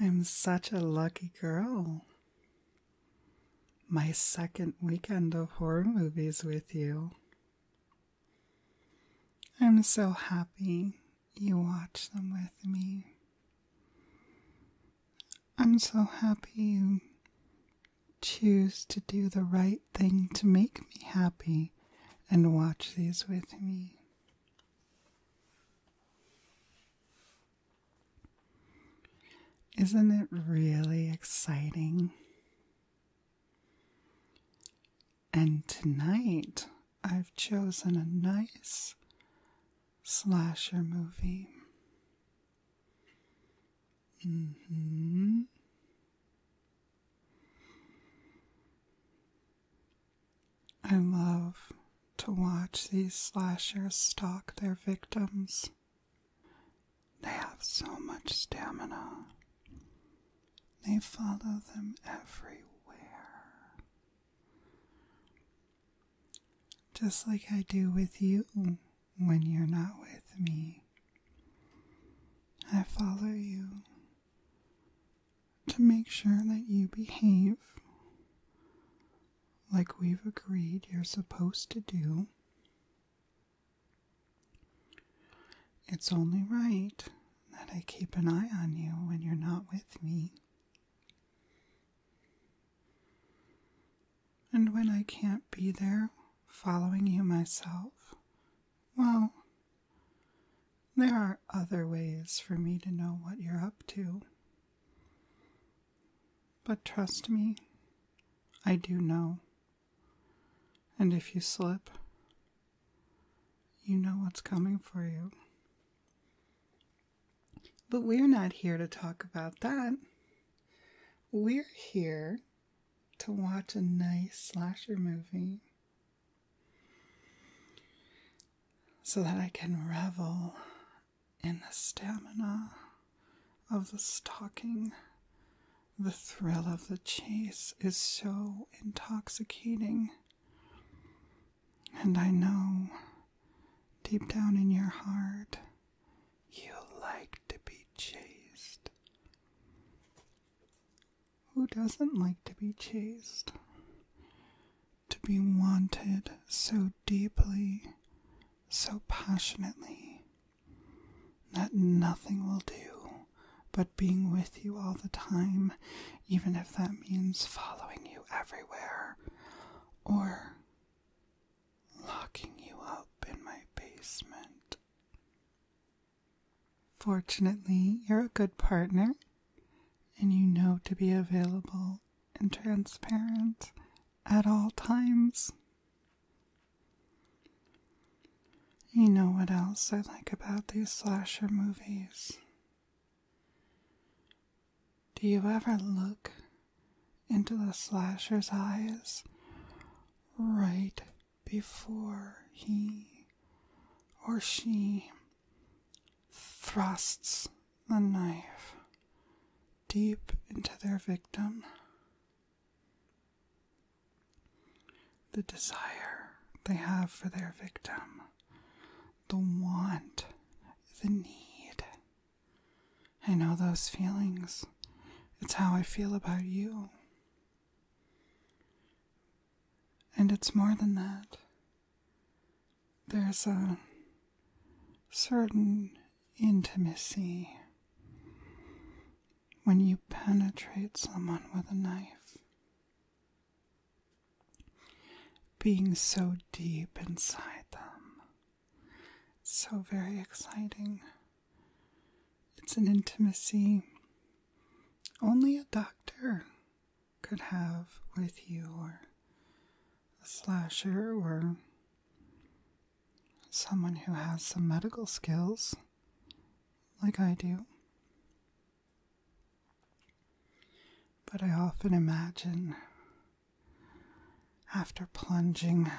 I'm such a lucky girl. My second weekend of horror movies with you. I'm so happy you watch them with me. I'm so happy you choose to do the right thing to make me happy and watch these with me. Isn't it really exciting? And tonight I've chosen a nice slasher movie. Mm-hmm. I love to watch these slashers stalk their victims. They have so much stamina. They follow them everywhere. Just like I do with you when you're not with me. I follow you to make sure that you behave like we've agreed you're supposed to do. It's only right that I keep an eye on you when you're not with me. And when I can't be there following you myself, well, there are other ways for me to know what you're up to. But trust me, I do know. And if you slip, you know what's coming for you. But we're not here to talk about that. We're here to watch a nice slasher movie so that I can revel in the stamina of the stalking. The thrill of the chase is so intoxicating. And I know, deep down in your heart, you like to be chased. Who doesn't like to be chased? To be wanted so deeply, so passionately, that nothing will do but being with you all the time, even if that means following you everywhere or locking you up in my basement. Fortunately, you're a good partner and you know to be available and transparent at all times. You know what else I like about these slasher movies? Do you ever look into the slasher's eyes right before he or she thrusts the knife deep into their victim. The desire they have for their victim, the want, the need. I know those feelings. It's how I feel about you. And it's more than that. There's a certain intimacy when you penetrate someone with a knife. Being so deep inside them. so very exciting. It's an intimacy only a doctor could have with you, or a slasher, or someone who has some medical skills like I do. But I often imagine after plunging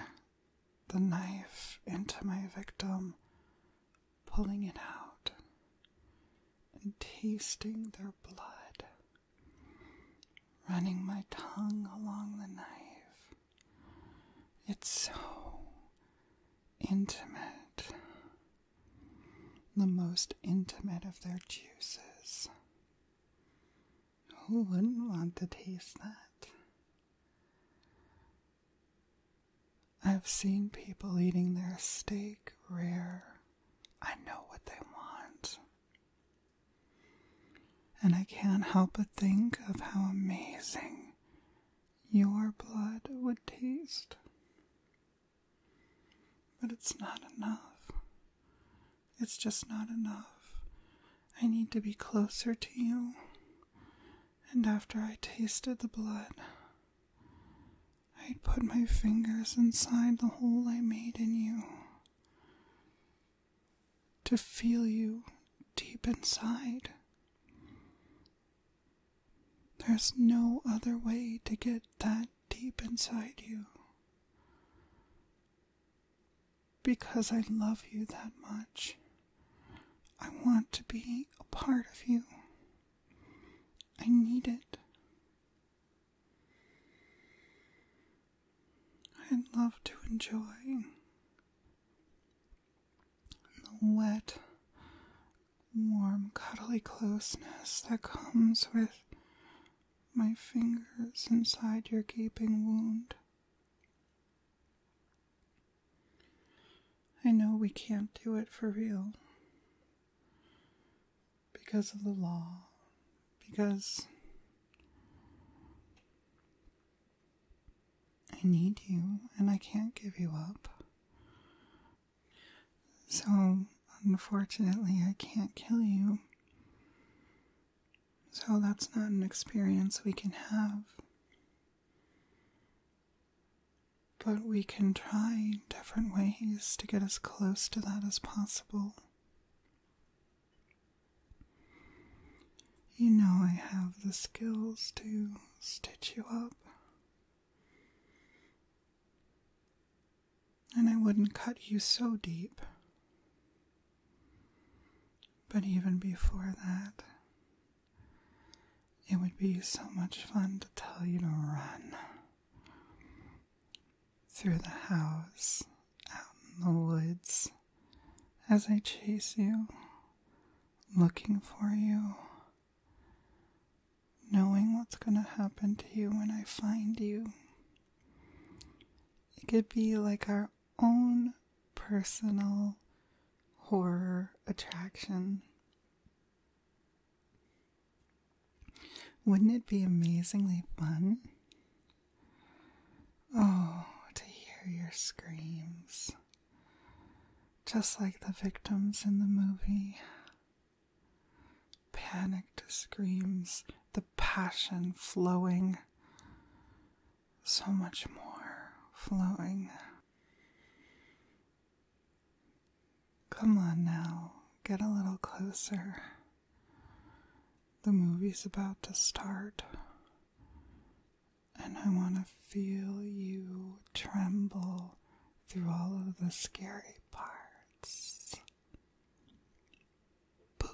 the knife into my victim, pulling it out and tasting their blood, running my tongue along the knife. It's so intimate, the most intimate of their juices. Who wouldn't want to taste that? I've seen people eating their steak rare. I know what they want. And I can't help but think of how amazing your blood would taste. But it's not enough. It's just not enough. I need to be closer to you and after I tasted the blood, I'd put my fingers inside the hole I made in you to feel you deep inside. There's no other way to get that deep inside you. Because I love you that much. I want to be a part of you. I need it. I'd love to enjoy the wet, warm, cuddly closeness that comes with my fingers inside your gaping wound. I know we can't do it for real because of the law, because I need you and I can't give you up. So, unfortunately, I can't kill you. So, that's not an experience we can have. But we can try different ways to get as close to that as possible. You know, I have the skills to stitch you up. And I wouldn't cut you so deep. But even before that, it would be so much fun to tell you to run through the house, out in the woods, as I chase you, looking for you, knowing what's going to happen to you when I find you. It could be like our own personal horror attraction. Wouldn't it be amazingly fun? Oh, to hear your screams. Just like the victims in the movie. Panicked screams, the passion flowing so much more flowing. Come on now, get a little closer. The movie's about to start, and I want to feel you tremble through all of the scary parts. Boo.